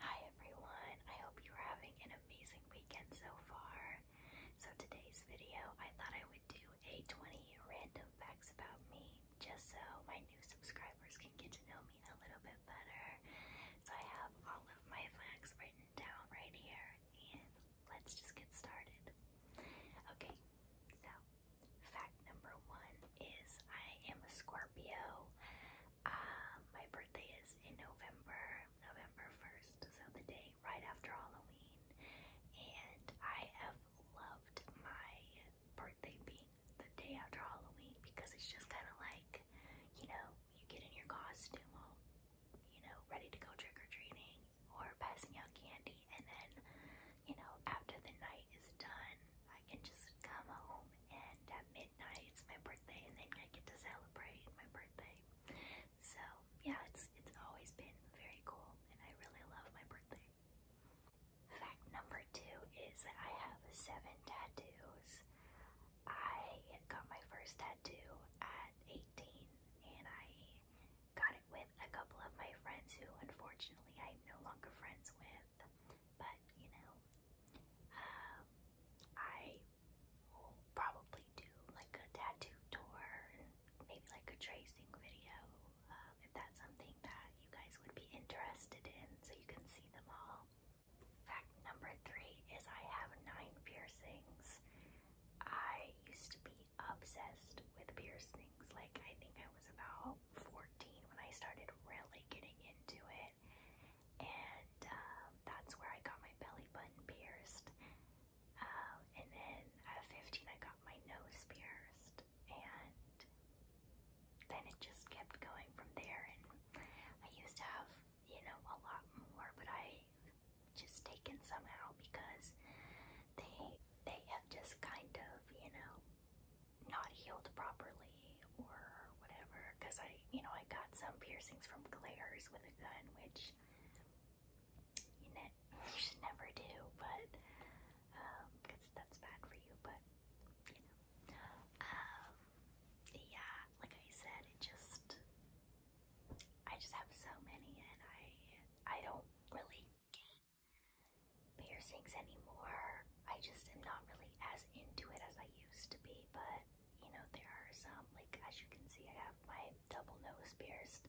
Hi everyone, I hope you are having an amazing weekend so far. So, today's video, I thought I would do a 20 random facts about me just so my new subscribers can get to know me a little bit better. So, I have all of my facts written down right here, and let's just get started. Okay, so fact number one is I am a Scorpio. Um, my birthday is in November, November 1st, so the day right after Halloween. And I have loved my birthday being the day after Halloween because it's just kind of like, you know, you get in your costume all, you know, ready to go trick or treating or passing out candy, and then, you know, after the night is done, I can just come home and midnight. It's my birthday, and then I get to celebrate my birthday. So yeah, it's it's always been very cool, and I really love my birthday. Fact number two is that I have seven tattoos. I got my first tattoo at 18, and I got it with a couple of my friends who, unfortunately, I'm no longer friends with. But, you know, um, I will probably do like a tattoo tour and maybe like a tracing video um, if that's something that you guys would be interested in so you can see them all. Fact number three is I have nine piercings. I used to be obsessed with piercings. Like, I think I was about 14 when I started really getting into it and um, that's where I got my belly button pierced. Um, and then at 15, I got my nose pierced, and then it just kept going from there. And I used to have, you know, a lot more, but I just taken somehow because they they have just kind of, you know, not healed properly or whatever because I you know I got some piercings from glares with a gun which you, should never do but because um, that's bad for you but you know um yeah like I said it just I just have so many and I I don't really piercings anymore. I just am not really as into it as I used to be, but you know, there are some, like as you can see, I have my double nose pierced.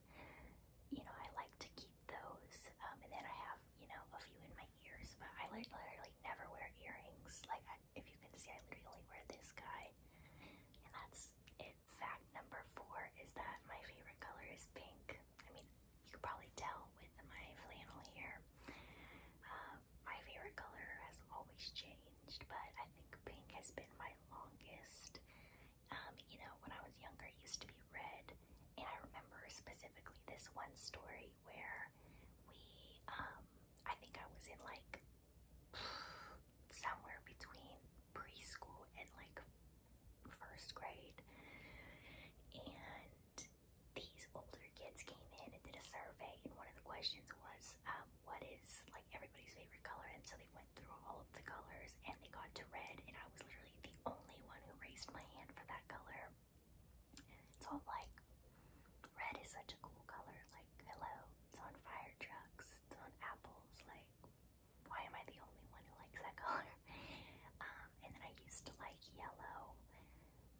You know, I like to keep those. Um, and then I have, you know, a few in my ears, but I like literally never wear earrings. Like, if you can see, I literally only wear this guy. And that's it. Fact number four is that my favorite color is pink. I mean, you can probably tell with my flannel here. Um, my favorite color has always changed, but I think pink has been my longest. Um, you know, when I was younger, it used to be red, and I remember specifically this one story where we, um, I think I was in like somewhere between preschool and like first grade, and these older kids came in and did a survey, and one of the questions was, um, "What is like everybody's favorite color?" And so they went through all of the colors, and they got to red, and I was literally the only one who raised my hand for that color. So I'm like, red is such a cool color. Like, hello, it's on fire trucks, it's on apples. Like, why am I the only one who likes that color? Um, and then I used to like yellow.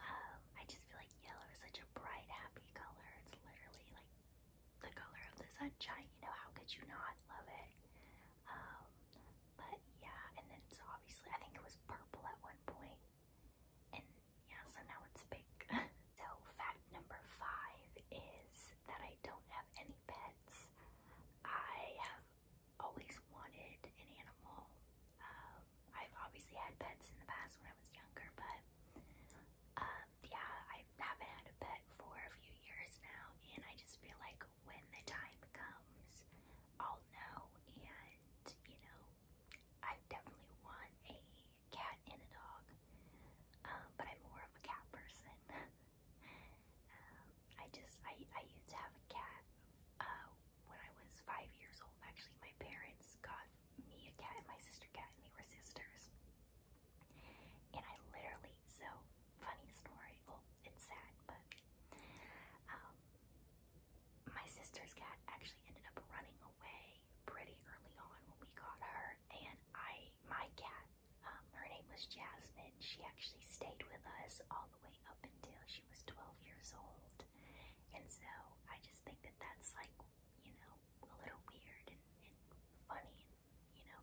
Um, I just feel like yellow is such a bright, happy color. It's literally like the color of the sunshine. You know, how could you not love it? Um, but yeah, and then so obviously I think it was purple at one point. And yeah, so now it's pink. so fact number five is that I don't have any pets. I have always wanted an animal. Um, I've obviously had pets in the past when I was younger, but um, yeah, I haven't had a pet for a few years now, and I just feel like when the time comes, I'll know. And you know, I definitely want a cat and a dog, um, but I'm more of a cat person. um, I just I I used to have a cat uh, when I was five years old, actually, my parents got me a cat and my sister cat, and they were sisters. And I literally, so funny story. Well, it's sad, but um, my sister's cat actually ended up running away pretty early on when we got her, and I, my cat, um, her name was Jasmine. She actually stayed with us all the way up until she was 12 years old. And so I just think that that's like, you know, a little weird and, and funny, and, you know,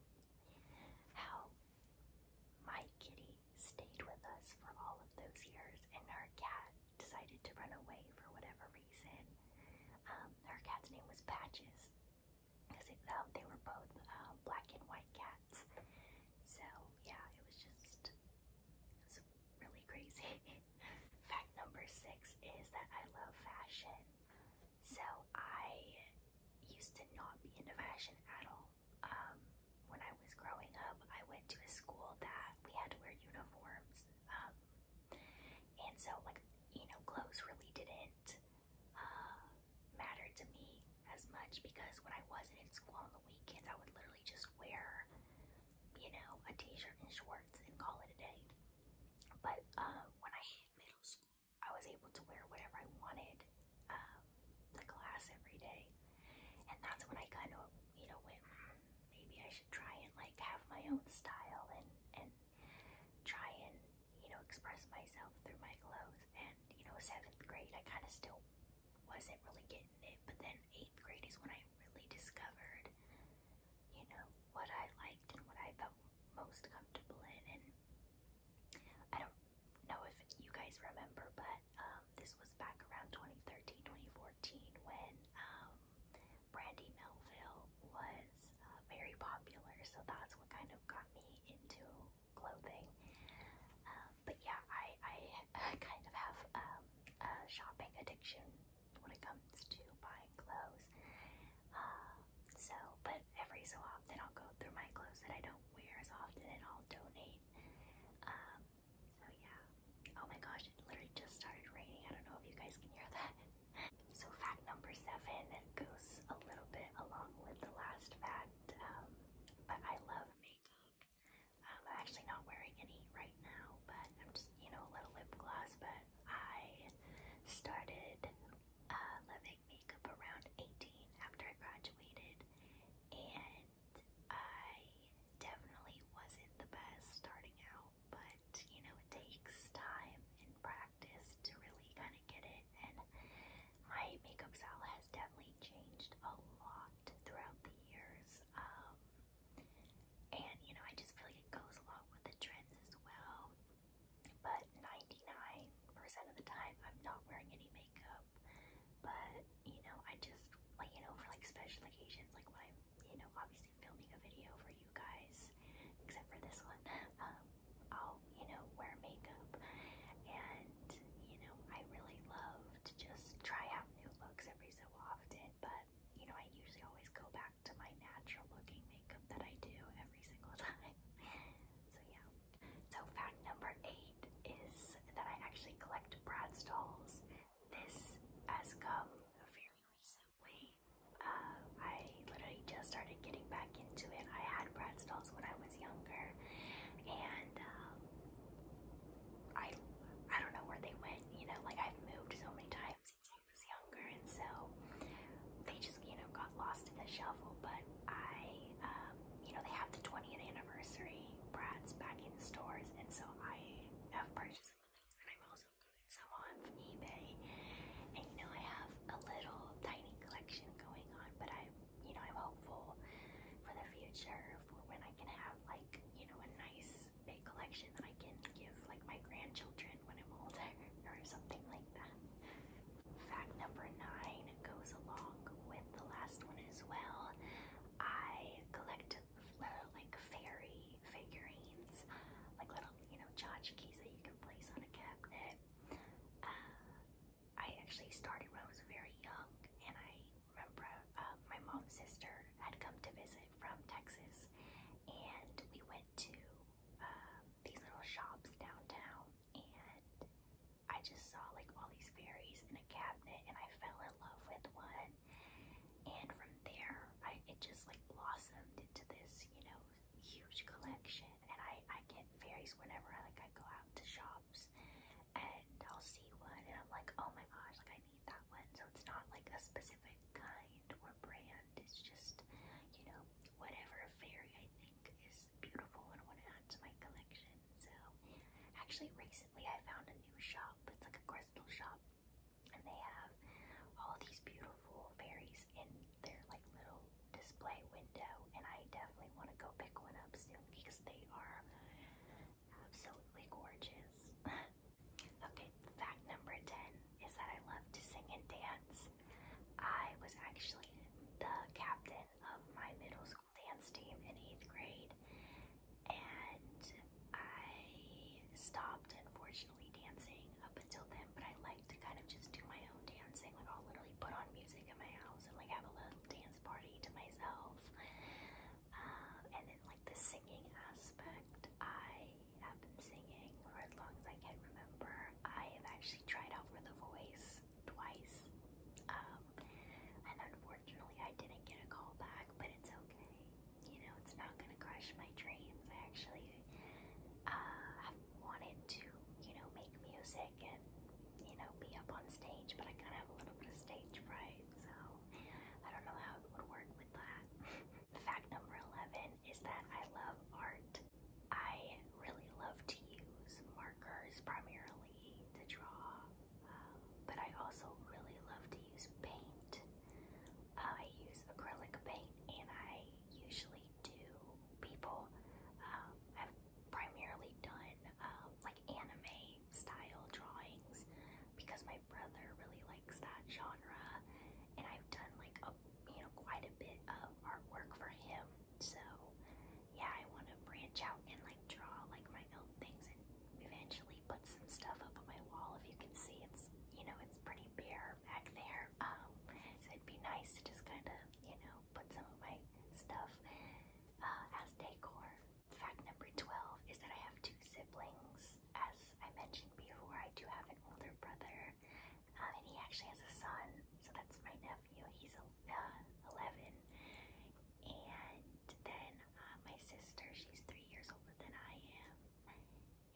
how my kitty stayed with us for all of those years and our cat decided to run away for whatever reason. Um, her cat's name was Patches because um, they were both uh, black and white cats. So yeah, it was just it's really crazy. Fact number six is that I love fashion. So I used to not be into fashion at all. Um, when I was growing up, I went to a school that we had to wear uniforms. Um, and so, like, you know, clothes really didn't uh, matter to me as much because when I wasn't in school on the weekends, I would literally just wear, you know, a t-shirt and shorts and call it a day. But um, when I hit middle school, I was able to wear whatever I wanted um, to class every day, and that's when I kind of, you know, went mm, maybe I should try and like have my own style and and try and you know express myself through my clothes. And you know, seventh grade, I kind of still wasn't really getting it. But then eighth grade is when I really discovered, you know, what I liked and what I felt most comfortable in. And I don't know if you guys remember, but um, this was back around 2013, 2014 when um, Brandy Melville was uh, very popular. So that's what kind of got me into clothing. Um, but yeah, I, I, kind of have um, a shopping addiction when it comes to buying clothes. Uh, so, but every so often I'll go through my clothes that I don't wear as often and I'll donate. Um, so yeah. Oh my gosh, it literally just started raining. I don't know if you guys can hear that. So fact number seven goes a little bit along with the last fact, um, but I love makeup. I'm actually not wearing any right now, but I'm just, you know, a little lip gloss. But I started uh, loving makeup around 18 after I graduated, and I definitely wasn't the best starting out, but you know, it takes time and practice to really kind of get it. And my makeup style has definitely changed a lot throughout the years. Um, and you know, I just feel like it goes along with the trends as well. But 99% of the time, I'm not wearing any makeup. But you know, I just like you know, for like special occasions, like when I'm you know, obviously filming a video for you guys, except for this one, um, I'll you know, wear makeup and you know, I really love to just try out new looks every so often, but you know, I usually always go back to my natural looking makeup that I do every single time. so yeah. So fact number eight is that I actually collect Bratz dolls. This has come very recently. Uh, I literally just started getting back into it. I had Bratz dolls when I was younger, and um, I I don't know where they went, you know, like I've moved so many times since I was younger and so they just, you know, got lost in the shuffle, but I um, you know, they have the 20th anniversary brats back in stores and so I have purchased some of those and I've also gotten some on eBay. And you know I have a little tiny collection going on, but I've you know, I'm hopeful for the future for when I can have like, you know, a nice big collection that I can give like my grandchildren when I'm older or something like that. Fact number nine goes along with the last one as well. I collect little uh, like fairy figurines, like little, you know, tchotchkes that you can place on a cabinet. Uh, I actually started when I was very young, and I remember uh, my mom's sister had come to visit from Texas, and we went to um, these little shops downtown, and I just saw like all these fairies in a cabinet, and I fell in love with one, and from there, I, it just like blossomed into this, you know, huge collection, and I I get fairies whenever I like I go out to shops box and I'll see one and I'm like, oh my gosh, like I need that one. So it's not like a specific kind or brand. It's just, you know, whatever fairy I think is beautiful and I want to add to my collection. So actually recently I found a new shop. It's like a crystal shop and they have all these beautiful fairies in their like little display window, and I definitely want to go pick one up soon because they are absolutely gorgeous. okay, fact number 10 is that I love to sing and dance. I was actually the captain of my middle school dance team in eighth grade, and I stopped unfortunately dancing up until then, but I like to kind of just do my own dancing. Like, I'll literally put on music in my house and like have a little dance party to myself. Uh, and then, like the singing aspect, I have been singing for as long as I can remember. I have actually tried out for the voice twice, um, and unfortunately, I didn't get a call back. But it's okay, you know, it's not gonna crush my dreams. I actually uh, have wanted to, you know, make music you know, be up on stage, but I kind of have a little bit of stage fright, so I don't know how it would work with that. Fact number 11 is that I love art. I really love to use markers primarily to draw, um, but I also really love to use paint. I use acrylic paint and I usually do people. have um, primarily done um, like anime style drawings because my brother really likes that genre, and I've done like a you know quite a bit of artwork for him. So yeah, I want to branch out and like draw like my own things and eventually put some stuff up on my wall. If you can see, it's you know it's pretty bare back there. Um, so it'd be nice to just kind of you know put some of my stuff uh, as decor. Fact number 12 is that I have two siblings. As I mentioned before, I do have an older brother, um, and he actually has a son, so that's my nephew. He's uh, 11. And then uh, my sister, she's three years older than I am,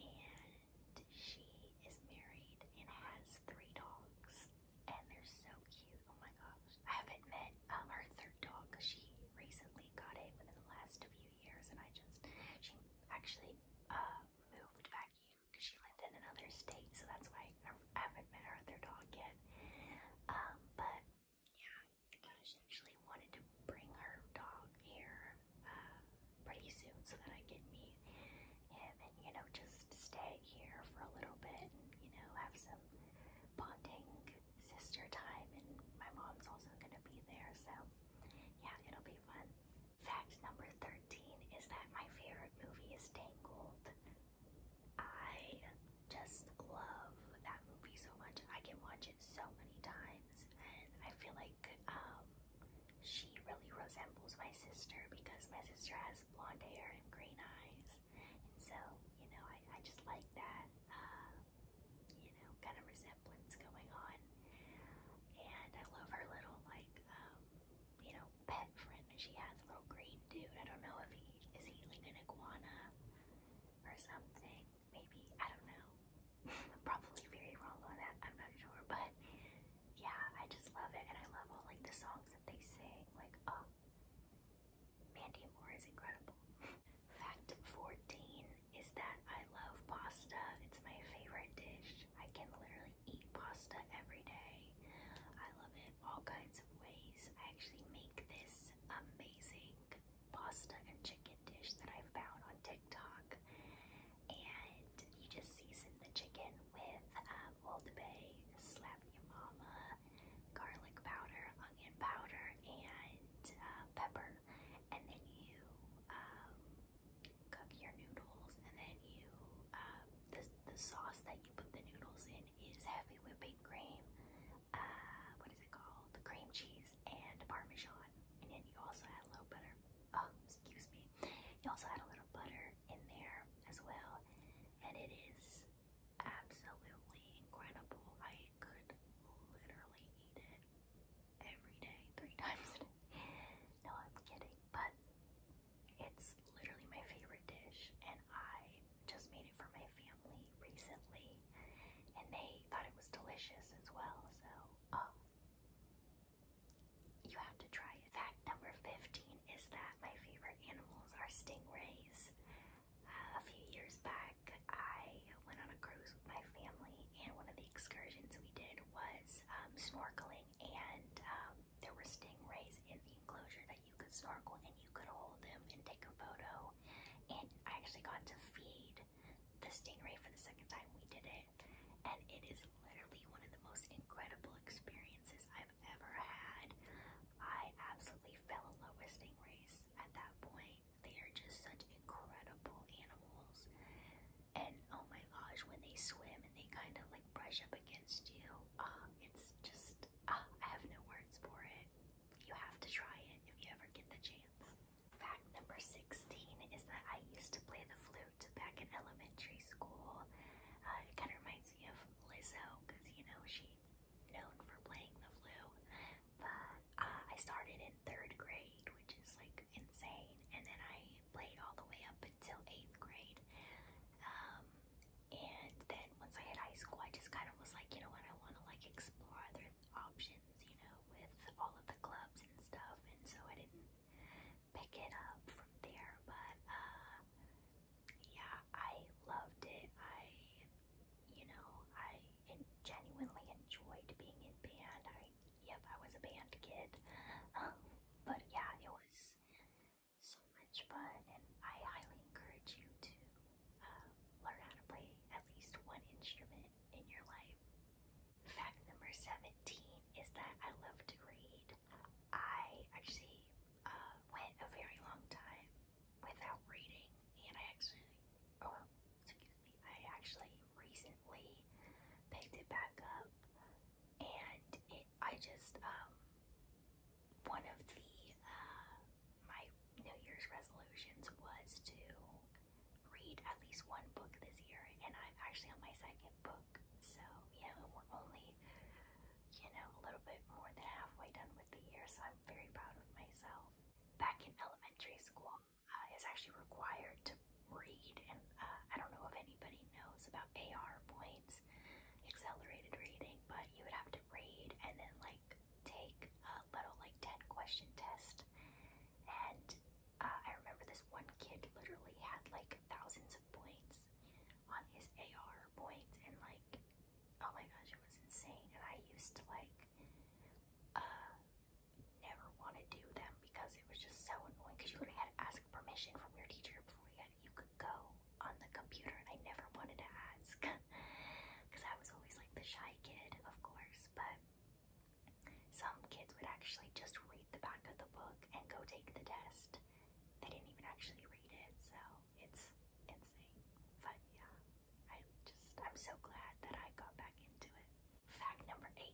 and she is married and has three dogs and they're so cute. Oh my gosh. I haven't met um, her third dog. She recently got it within the last few years, and I just, she actually uh, moved back here because she lived in another state, so that's why I haven't met her other dog yet. Um, but yeah, she actually wanted to bring her dog here uh, pretty soon so that I can meet him and, you know, just stay here for a little bit and, you know, have some bonding sister time. And my mom's also going to be there, so yeah, it'll be fun. Fact number 13 is that my favorite movie is Tangled. I just love that movie so much. I can watch it so many times, and I feel like um, she really resembles my sister because my sister has blonde hair and green eyes. And so, you know, I, I just like that, uh, you know, kind of resemblance going on. And I love her little, like, um, you know, pet friend that she has, a little green dude. I don't know if he, is he like an iguana or something? Maybe, I don't know. I'm probably very wrong on that, I'm not sure. But yeah, I just love it, and I love all like the songs that they sing. Like, oh, Mandy Moore is incredible. Fact 14 is that I love pasta. It's my favorite dish. I can literally eat pasta every day. I love it all kinds of ways. I actually make this amazing pasta and chicken dish that I found on TikTok, and you just season the chicken with. Um, um, Old Bay Slap Your Mama, garlic powder, onion powder, and uh, pepper. And then you um, cook your noodles, and then you um, the the sauce that you put the noodles in is heavy whipping cream. Uh, what is it called? The cream cheese and parmesan. And then you also add a little butter. Oh, excuse me. You also had a little butter in there as well, and it is absolutely incredible. I could literally eat it every day, three times a day. No, I'm kidding, but it's literally my favorite dish, and I just made it for my family recently, and they thought it was delicious as well. So, oh. You have to try it. Fact number 15 is that my favorite animals are stingrays. Uh, a few years back, I went on a cruise with my family, and one of the excursions we did was um, snorkeling, and um, there were stingrays in the enclosure that you could snorkel and you could hold them and take a photo. And I actually got to feed the stingray for the second time we did it, and it is literally one of the most incredible experiences I've ever had. I absolutely fell in love with stingrays at that point. They are just such incredible animals. And oh my gosh, when they swim and they kind of like brush up against you, uh, it's just, uh, I have no words for it. You have to try it if you ever get the chance. Fact number 16 is that I used to play the flute back in elementary school. Uh, it kind of reminds me of Lizzo because, you know, she known for playing the flu. But uh, I started in third grade, which is like insane. And then I played all the way up until eighth grade. Um, and then once I hit high school, I just kind of was like, you know what, I want to like explore other options, you know, with all of the clubs and stuff. And so I didn't pick it up from there. But uh, yeah, I loved it. I, you know, I genuinely enjoyed being in band. I, yep, I was a band kid. Um, but yeah, it was so much fun, and I highly encourage you to uh, learn how to play at least one instrument in your life. Fact number 17 is that I love to read. I actually uh, went a very long time without reading, and I actually, oh, excuse me, I actually recently picked it back up, and I just, um, one of the, uh, my New Year's resolutions was to read at least one book this year, and I'm actually on my second book. So yeah, we're only, you know, a little bit more than halfway done with the year, so I'm very proud of myself. Back in elementary school, uh, is actually required to read, and uh, I don't know if anybody knows about AR points, accelerated reading, but you would have to read and then like take a little like 10 question test, and uh, I remember this one kid literally had like thousands of points on his AR points, and like, oh my gosh, it was insane. And I used to like, uh, never want to do them because it was just so annoying. Because you literally had to ask permission from your teacher before you, had, you could go on the computer, and I never wanted to ask because I was always like the shy kid, of course. But some kids would actually just read the back of the book and go take the test. They didn't even actually read it, so it's insane. But yeah, I just, I'm so glad that I got back into it. Fact number 18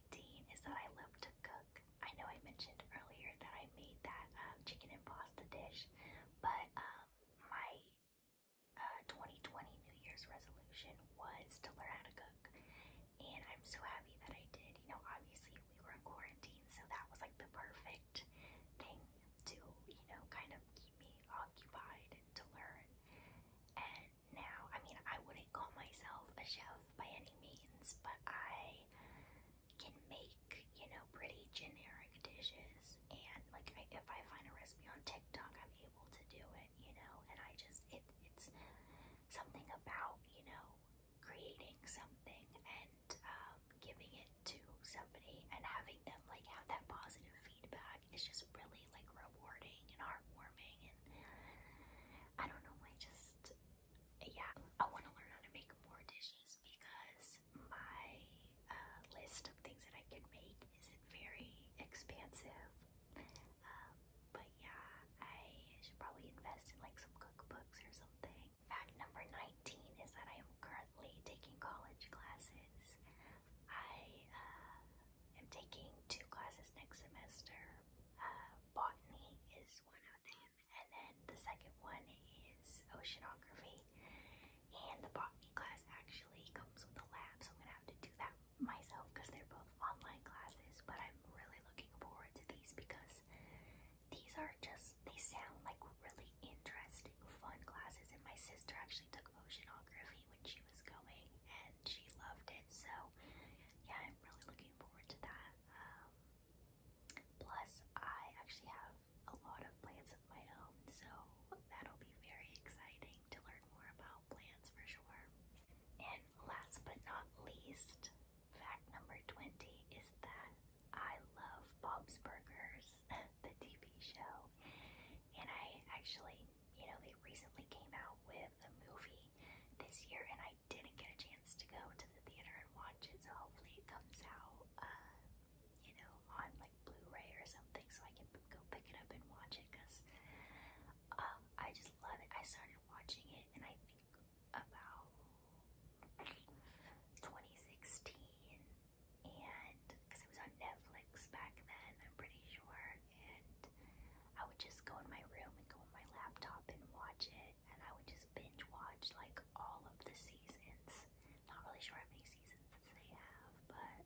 is that I love to cook. I know I mentioned earlier that I made that um, chicken and pasta dish, but um, my uh, 2020 New Year's resolution was to learn how to cook and I'm so happy that I did. You know, obviously we were in quarantine, so that was like the perfect thing to, you know, kind of keep me occupied and to learn. And now, I mean, I wouldn't call myself a chef by any means, but I can make, you know, pretty generic dishes. And like, I, if I find a recipe on TikTok, I'm able to do it, you know. And I just, it, it's something about, you know, creating something and um, giving it to somebody and having them like have that positive feedback is just really like rewarding and heartwarming and I don't know I just yeah I want to learn how to make more dishes because my uh, list of things that I can make isn't very expansive um, but yeah, I should probably invest in like some cookbooks or something. Fact number 19 is that I am currently taking college classes. I uh, am taking two classes next semester. Uh, botany is one of them, and then the second one is oceanography. And the botany class actually comes with a lab, so I'm gonna have to do that myself because they're both online classes, but I'm really looking forward to these because these are just, they sound like really interesting, fun classes. And my sister actually took oceanography when she was going and she loved it. So, yeah, I'm really looking forward to that. Um, plus, I actually have a lot of plants of my own, so that'll be very exciting to learn more about plants for sure. And last but not least, fact number 20 is that I love Bob's Burgers, the TV show. And I actually, you know, they recently came out with a movie this year, and I didn't get a chance to go to the theater and watch it, so hopefully it comes out, uh, you know, on like Blu ray or something so I can go pick it up and watch it because um, I just just love it. I started watching it and I think about 2016 and because it was on Netflix back then, I'm pretty sure. And I would just go in my room and go on my laptop and watch it, and I would just binge watch like all of the seasons. Not really sure how many seasons they have, but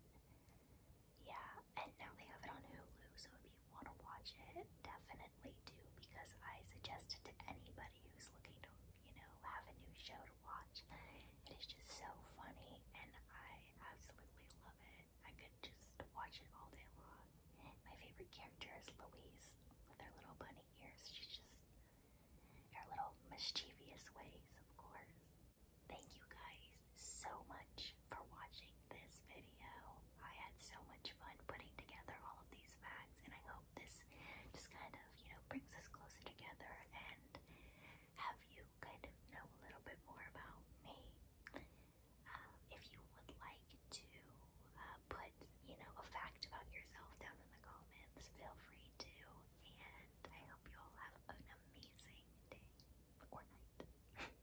yeah. And now they have it on Hulu, so if you want to watch it, definitely do because I suggest it to anybody who's looking to, you know, have a new show to watch. It is just so funny and I absolutely love it. I could just watch it all day long. My favorite character is Louise with her little bunny ears. She's just her little mischievous ways, of course. Thank you guys so much for watching this video. I had so much fun putting together all of these facts, and I hope this just kind of, you know, brings us closer together and have you kind of know a little bit more about me. Um, if you would like to uh, put, you know, a fact about yourself down in the comments, feel free to, and I hope you all have an amazing day or night.